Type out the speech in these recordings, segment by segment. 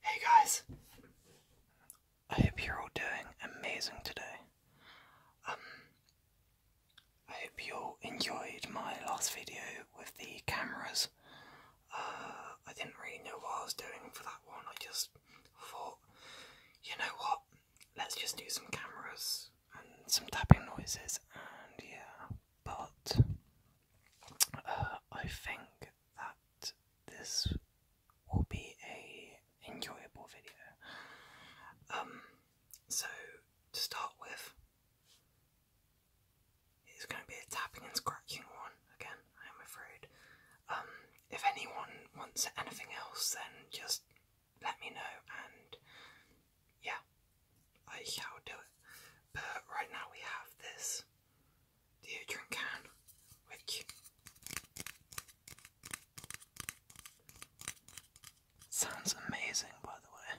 Hey guys, I hope you're all doing amazing today. Um, I hope you enjoyed my last video with the cameras. Uh, I didn't really know what I was doing for that one, I just thought, you know what, let's just do some cameras and some tapping noises and yeah, but uh, I think that this will be a enjoyable video. Um, so to start with, it's going to be a tapping and scratching one again. I am afraid. Um, if anyone wants anything else, then just let me know, and yeah, I shall do it. But right now we have this deodorant can, which sounds amazing, by the way.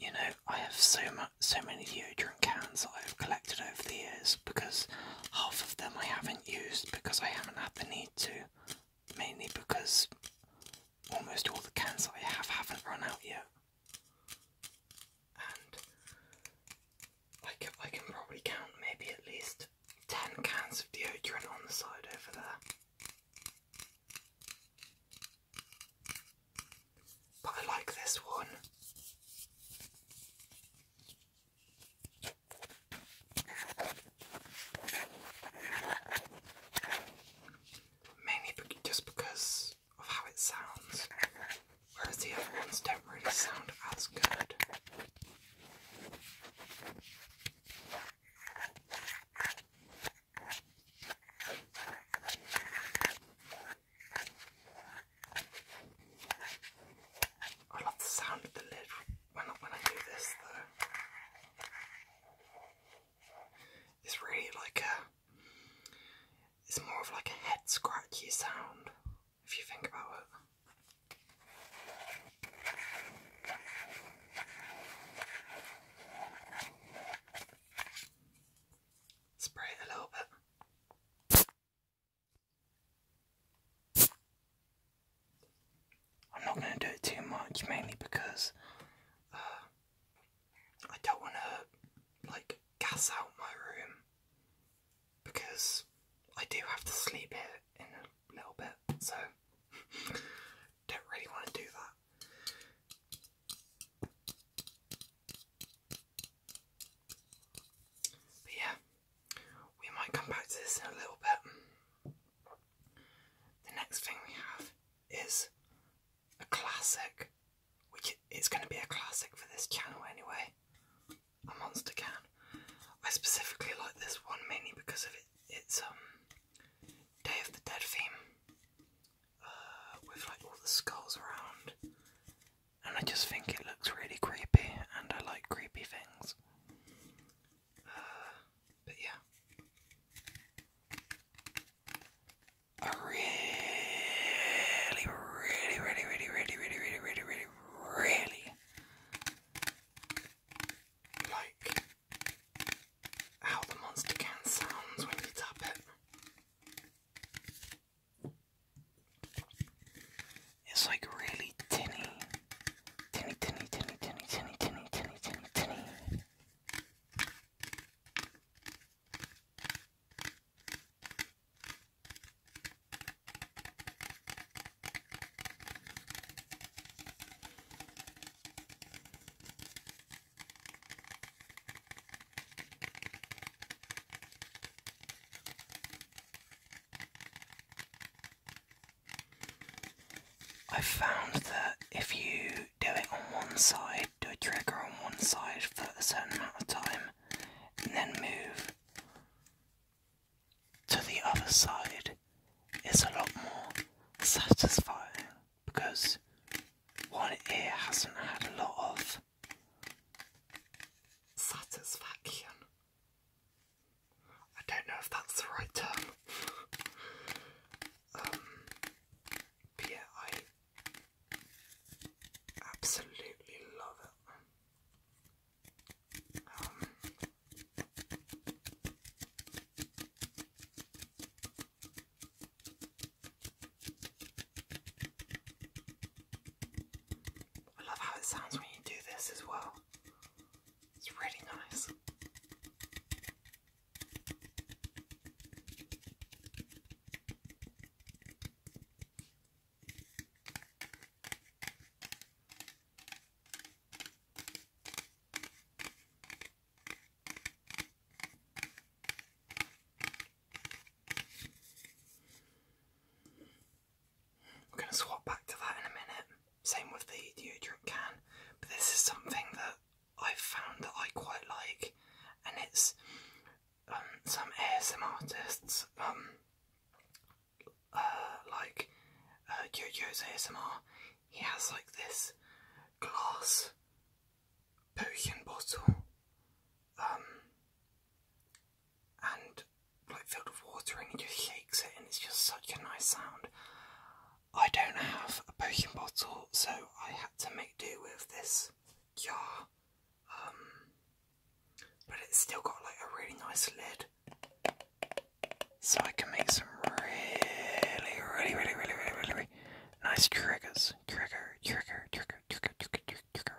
you know, I have so much, so many deodorant cans that I've collected over the years because half of them I haven't used because I haven't had the need to, mainly because almost all the cans I have haven't run out yet. And I can, I can probably count maybe at least 10 cans of deodorant on the side over there. But I like this one. Mainly just because of how it sounds, whereas the other ones don't really sound as good. I love the sound of the lid when I, when I do this though. It's really like a, it's more of like a head scratchy sound if you think about it. Spray it a little bit. I'm not going to do it too much, mainly because uh, I don't want to like gas out my room because I do have to sleep here in a little bit, so don't really want to do that. But yeah, we might come back to this in a little bit. The next thing we have is a classic, which is going to be a classic for this channel anyway. A monster can. I specifically like this one mainly because of it, its um Day of the Dead theme with like all the skulls around, and I just think it looks really creepy, and I like creepy things. but yeah. I really, really, really, really, really, really, really, really, really, really like how the monster can sounds when you tap it. It's like really tinny. Tinny, tinny, tinny, tinny, tinny, tinny, tinny, tinny, I found that if you do it on one side, do a trigger on one side for a certain amount of time, and then move to the other side, it's a lot more satisfying because one ear hasn't had a lot of satisfaction. I don't know if that's the right term. Um, but yeah, I absolutely love it. Um, I love how it sounds when you do this as well. It's really nice. We're going to swap back to that in a minute. Same with the deodorant can, but this is something that i found that I quite like, and it's um, some ASMR artists, um, uh, like uh, Jojo's ASMR. He has like this glass potion bottle, um, and like filled with water, and he just shakes it, and it's just such a nice sound. I don't have a potion bottle, so I had to make do with this jar, um, but it's still got like a really nice lid. So I can make some really, really, really, really, really, really, really Nice triggers. Trigger, trigger, trigger, trigger, trigger, trigger.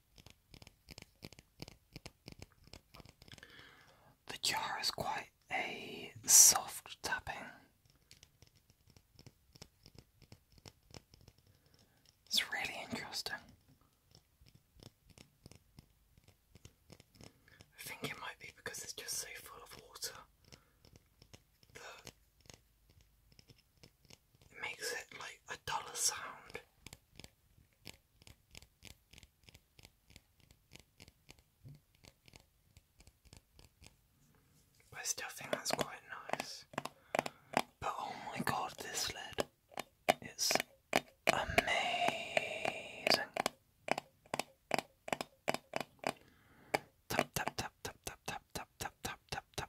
The jar is quite a soft tapping. It's really interesting. I think it might be because it's just so full of water it makes it like a dollar sound. I still think that's quite nice. But oh my god, this lid. It's amazing. tap tap tap tap tap tap tap tap tap tap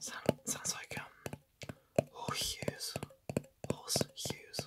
sounds like um horse hues, Horse hues.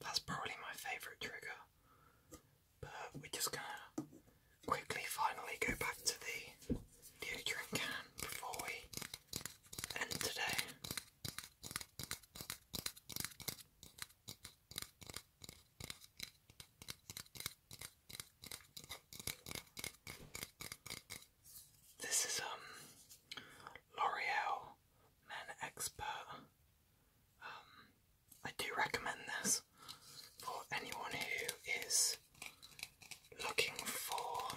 That's probably my favourite trigger, but we're just gonna quickly finally go back to the deodorant can before we and today. This is um L'Oreal Men Expert. Um, I do recommend this for anyone who is looking for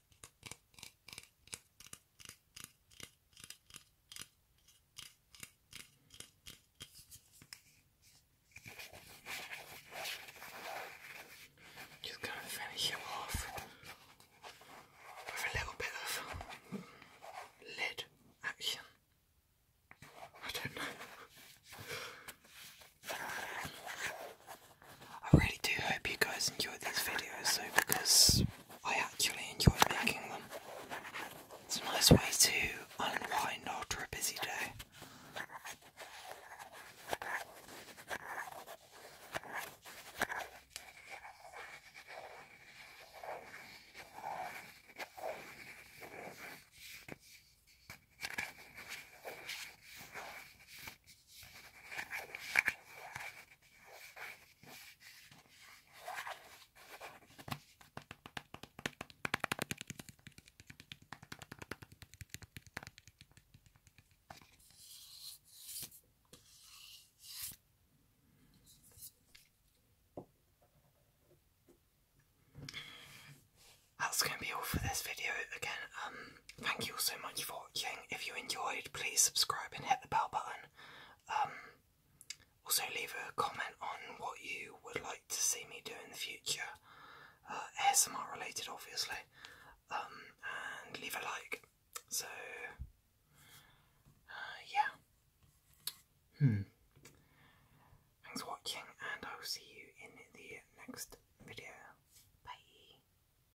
Just gonna finish him off with a little bit of lid action. I don't know. I really do hope you guys enjoyed this video. though because I actually enjoy making them. It's a nice way to unwind after a busy day. That's going to be all for this video. Again, um, Thank you all so much for watching. If you enjoyed, please subscribe and hit the bell button. Um, also, leave a comment on what you would like to see me do in the future, uh, ASMR related, obviously. Um, and leave a like. So, uh, yeah. Hmm. Thanks for watching, and I will see you in the next video. Bye.